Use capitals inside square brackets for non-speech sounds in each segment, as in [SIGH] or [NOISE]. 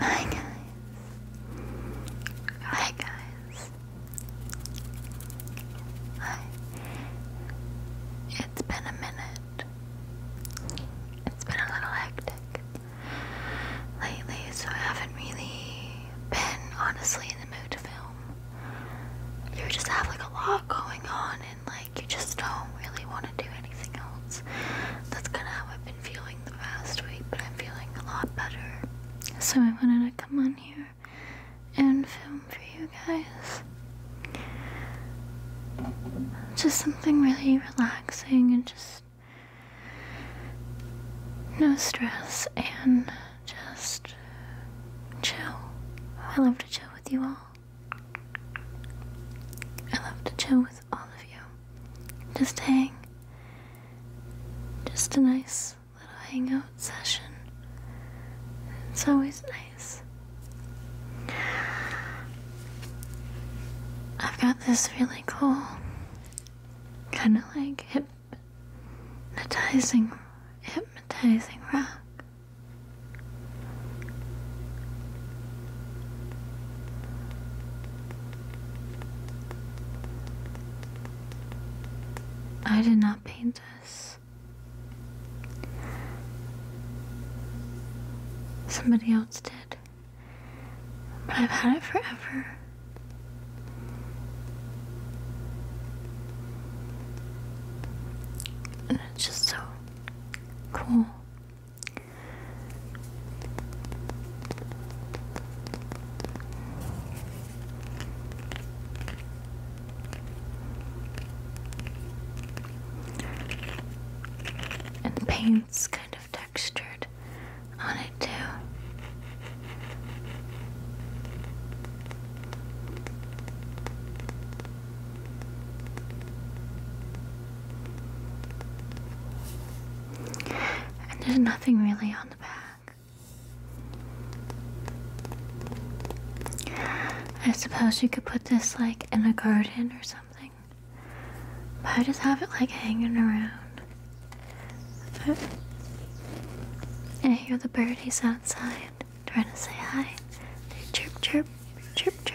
Hi guys. Hi guys. Hi. It's been a minute. It's been a little hectic lately, so I haven't really been honestly in the mood to film. You just have like a lot going on and like like you just don't really want to do anything else. That's kind of how I've been feeling the past week, but I'm feeling a lot better. So I wanted to come on here and film for you guys. Just something really relaxing and just no stress and just chill. I love to chill with you all. I love to chill with all of you. Just hang. Just a nice little hangout session. It's always nice. I've got this really cool, kind of like hypnotizing, hypnotizing rock I did not paint this. Somebody else did. But I've had it forever. And it's just so cool. And the paint's kind of textured on it too. And there's nothing really on the back. I suppose you could put this like in a garden or something. But I just have it like hanging around. But I hear the birdies outside trying to say hi. chirp, chirp, chirp, chirp.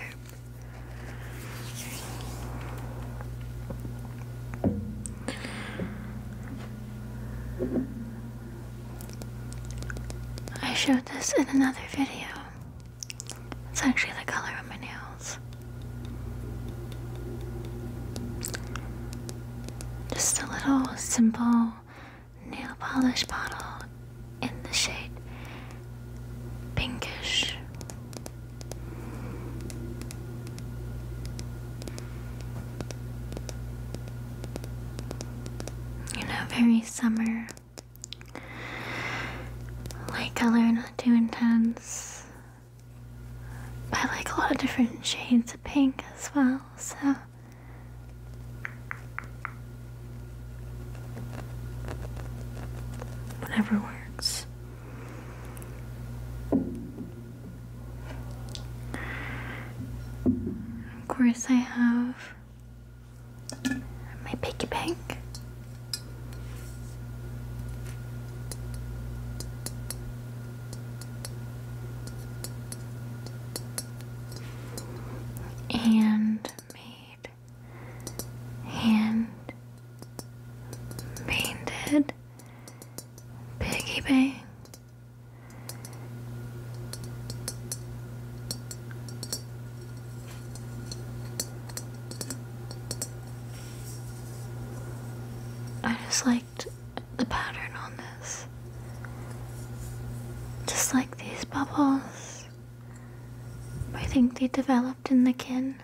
I showed this in another video. It's actually the color of my nails. Just a little simple nail polish bottle in the shade pinkish. You know, very summer. Light color, not too intense. But I like a lot of different shades of pink as well, so Whatever works. Of course, I have my piggy bank handmade, hand painted piggy bank. I just liked the pattern on this. Just like these bubbles. I think they developed in the kin.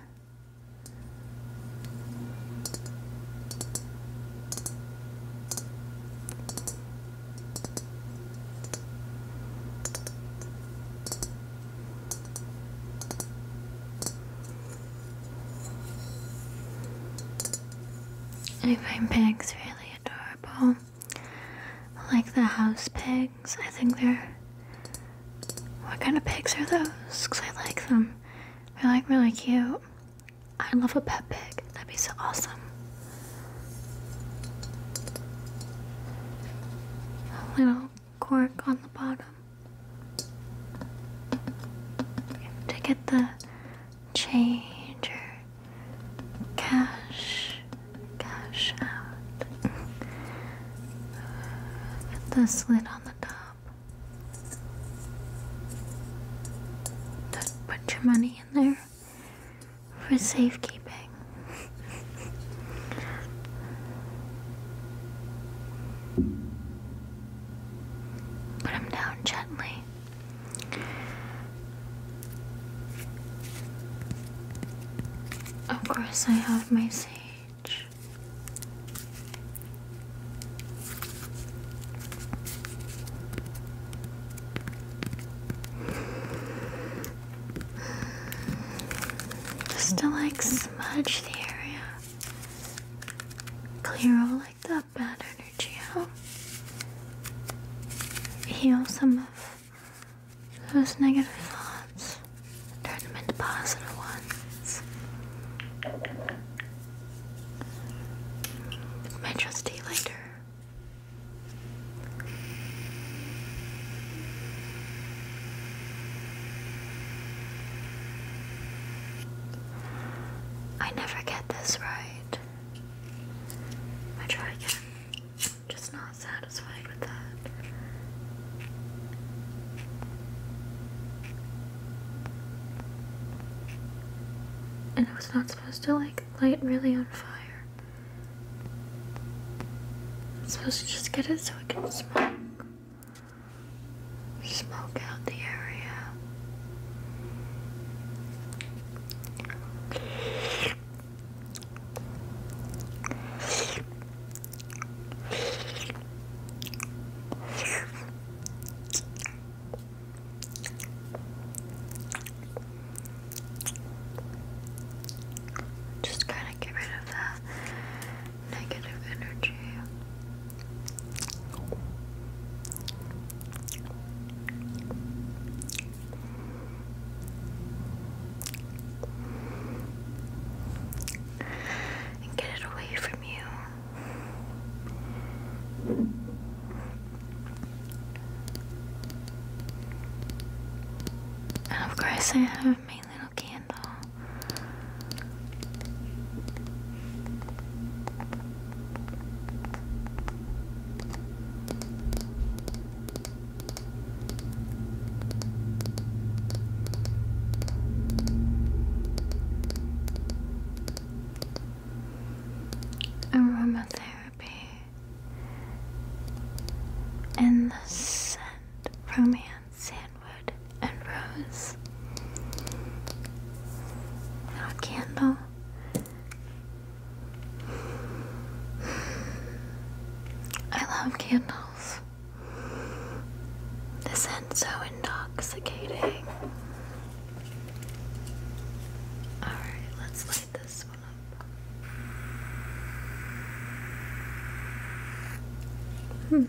I find pegs really adorable like the house pigs. I think they're. What kind of pigs are those? Because I like them. They're like really cute. I love a pet pig. That'd be so awesome. A little cork on the bottom. To get the changer cash cash out Put the slit on the top do put your money in there for safekeeping Put him down gently. Of course, I have my sage. Just to like smudge the area, clear all like that bad energy out. Heal some of those negative thoughts. Turn them into positive ones. My trusty I never get this right. I try again. just not satisfied with that. And I was not supposed to like light really on fire. I'm supposed to just get it so I can smoke. Smoke out the area. Just kind of get rid of that negative energy and get it away from you. And of course, I have my little candle. Aromatherapy and the scent from hand, sandwood, and rose a candle. I love candles. The scent's so intoxicating. Alright, let's light this one up. Hmm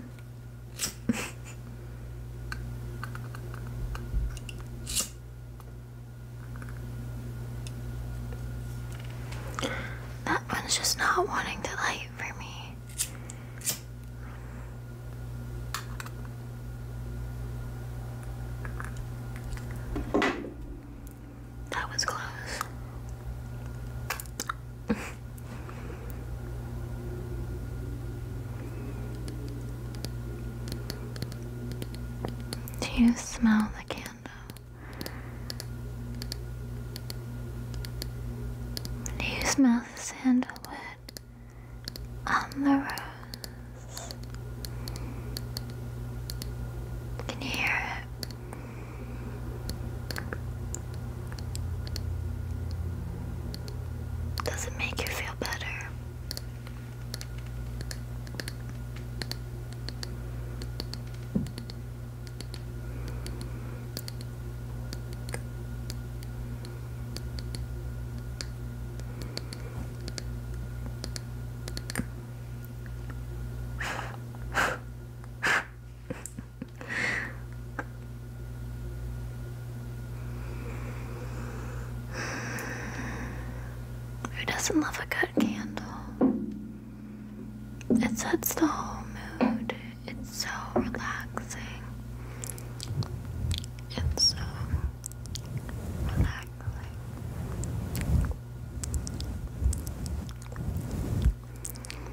that one's just not wanting to light for me. That was close. [LAUGHS] Do you smell the candle? Do you smell the sandalwood on the rose? Can you hear it? Does it make you feel better? [LAUGHS] Who doesn't love a good candle? It sets the whole mood. It's so relaxing. and so relaxing.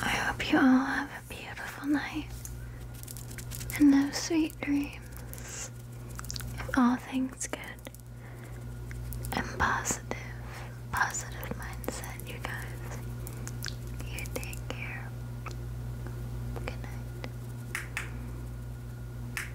I hope you all have a beautiful night and those sweet dreams. If all things good and positive, positive mindset, you guys. You take care. Good night.